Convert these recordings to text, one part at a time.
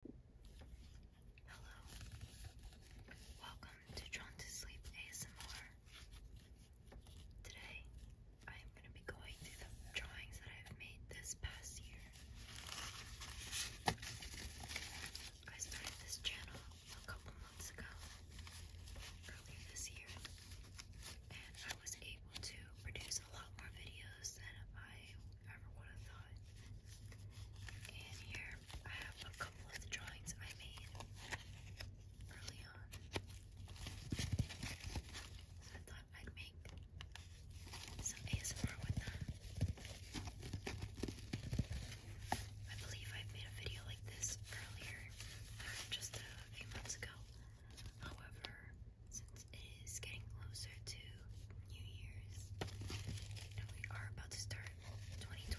Hello. Welcome to Drawn to Sleep ASMR. Today, I'm going to be going through the drawings that I've made this past year. I started this channel a couple months ago, earlier this year, and I was able to produce a lot more videos than I ever would have thought. And here I have a couple of the drawings I made early on. So I thought I'd make some ASMR with them. I believe I made a video like this earlier, uh, just a few months ago. However, since it is getting closer to New Year's and we are about to start 2024,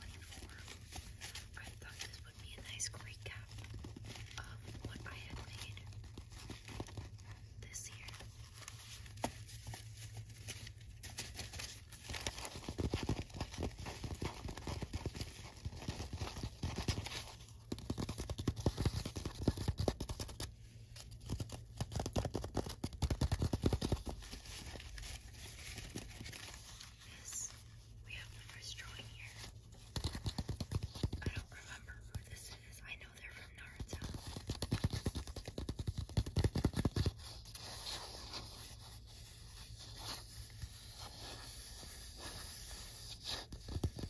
I thought this would be a nice recap of what I had made this year. Yes, we have the drawing here. I don't remember who this is. I know they're from Naruto.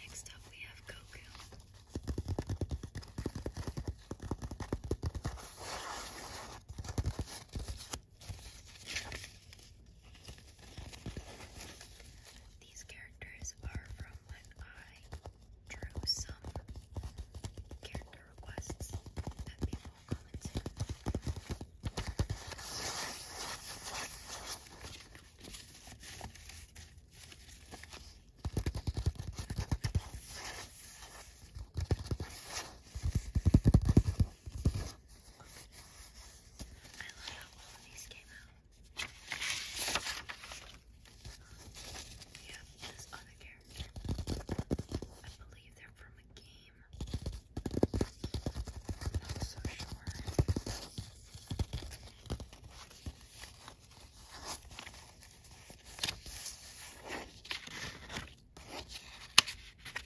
Next up, we have Goku. These characters are from when I drew some character requests that people commented. I love how all of these came out. Yeah, this other character. I believe they're from a game. not so sure.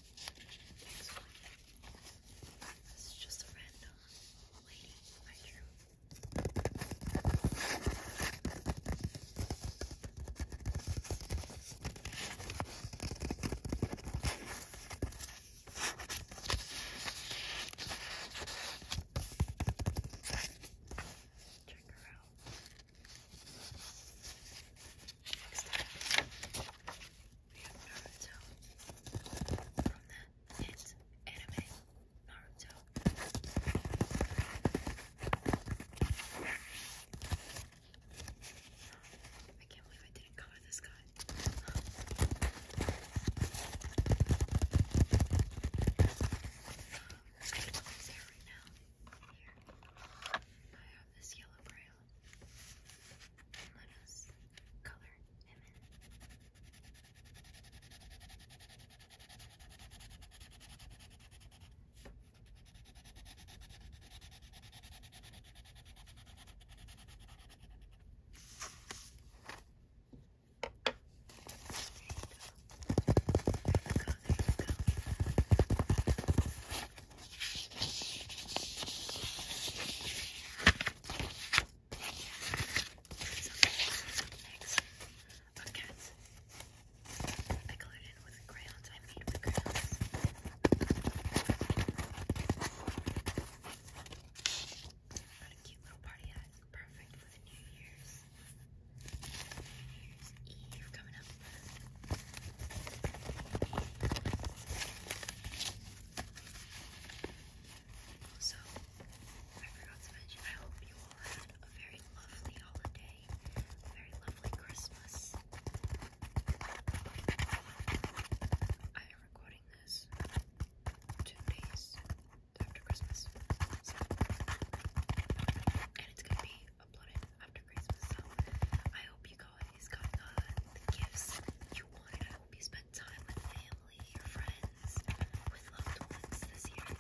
Next one. This is just a random lady I drew. Check her out. Next up, Naruto from the hit anime Naruto. I can't believe I didn't cover this guy. I have this yellow brown. And let us color him in. There you go mix of cats. I colored in with crayons. I made with crayons. Got a cute little party hat. Perfect for the New Year's. New I forgot to mention, I hope you all had a very lovely holiday, very lovely Christmas. I am recording this two after Christmas, and it's gonna be uploaded after Christmas. So I hope you guys got uh, the gifts you wanted. I hope you spent time with family, your friends, with loved ones this year. And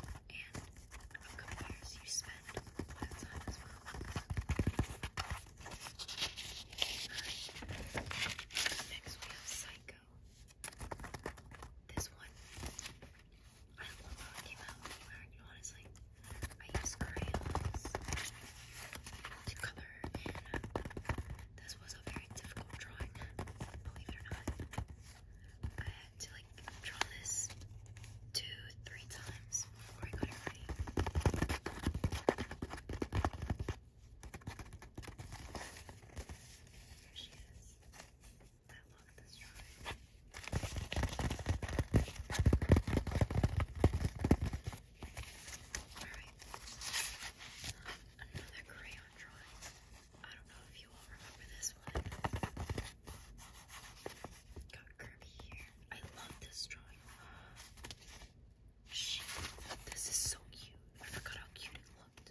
upcoming years you spend time as well. Alright. Next we have Psycho. This one I don't know how I came out with mark, honestly. I use crayons to color, this was a very difficult drawing, believe it or not. I had to like draw this two, three times before I got it ready. Here she is that look this drawing. Alright. another crayon drawing. I don't know if you all remember this one. Got Kirby here. I love this drawing. She, this is so cute. I forgot how cute it looked.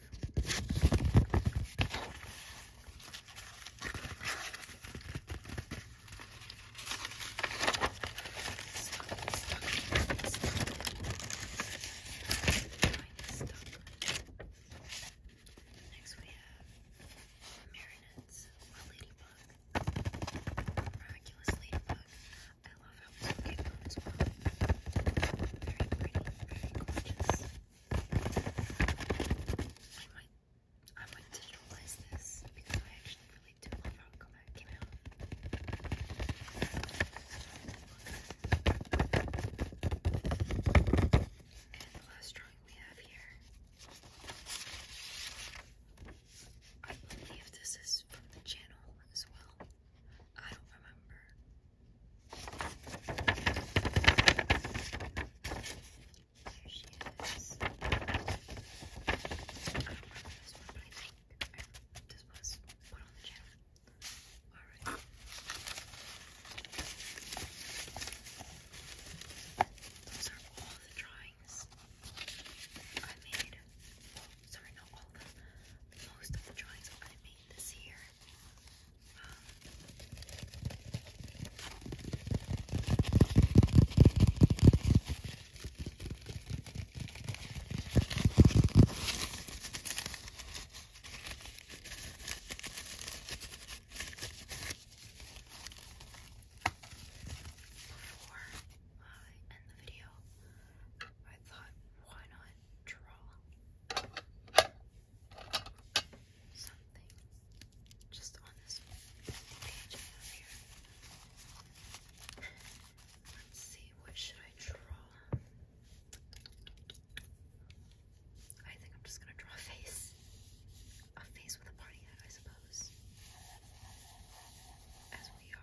Next we have Marinette's Lady Bug. Miraculous Ladybug. I love how it's looking on I might, digitalize this because I actually really do love how it came out. And the last drawing we have here. I believe this is from the channel as well. I don't remember. Here she is. I don't remember this one, but I think I, this was one on the channel. Alright. Those are all the drawings I made made, well, sorry, not all of most of the drawings I made this year. Um, before I end the video, I thought, why not draw something just on this page here? Let's see, what should I draw? I think I'm just gonna draw a face. A face with a party hat, I suppose we are.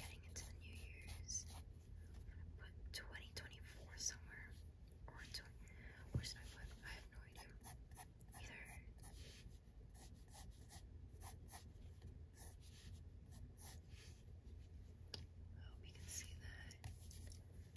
Getting into the New Year's. I'm gonna put 2024 somewhere. Or, to, or should I put? I have no idea. Either. I hope you can see that.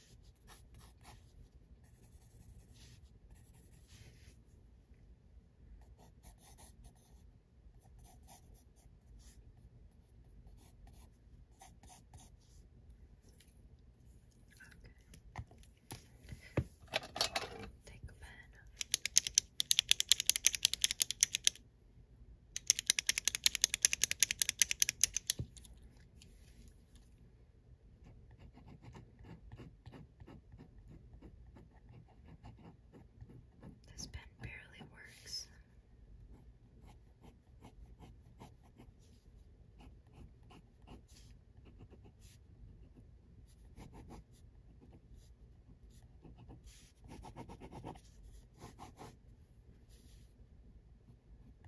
Take a pen. This pen barely works.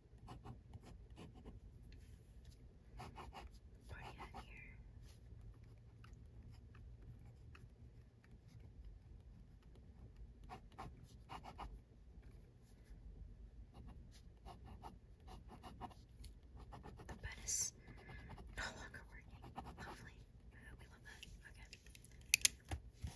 Party out here. The bed is no longer working. Lovely. Uh, we love that. Okay.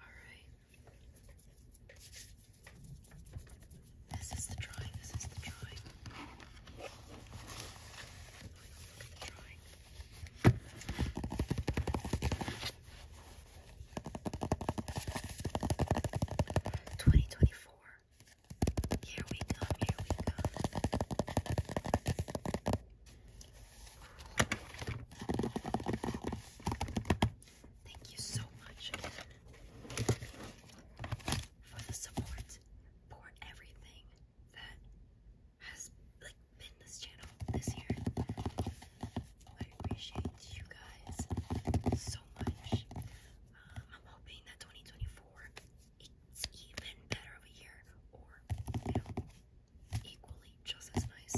Alright. This is the drawing, this is the drawing. Look at the drawing. Twenty twenty four. Here we come, here we come. Thank you so much for the support. for everything that has like been this channel this year. I appreciate you guys so much. Um, I'm hoping that 2024 it's even better of a year, or equally just as nice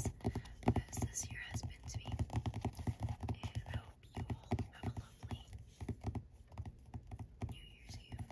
as this year has been to me. And I hope you all have a lovely New Year's Eve.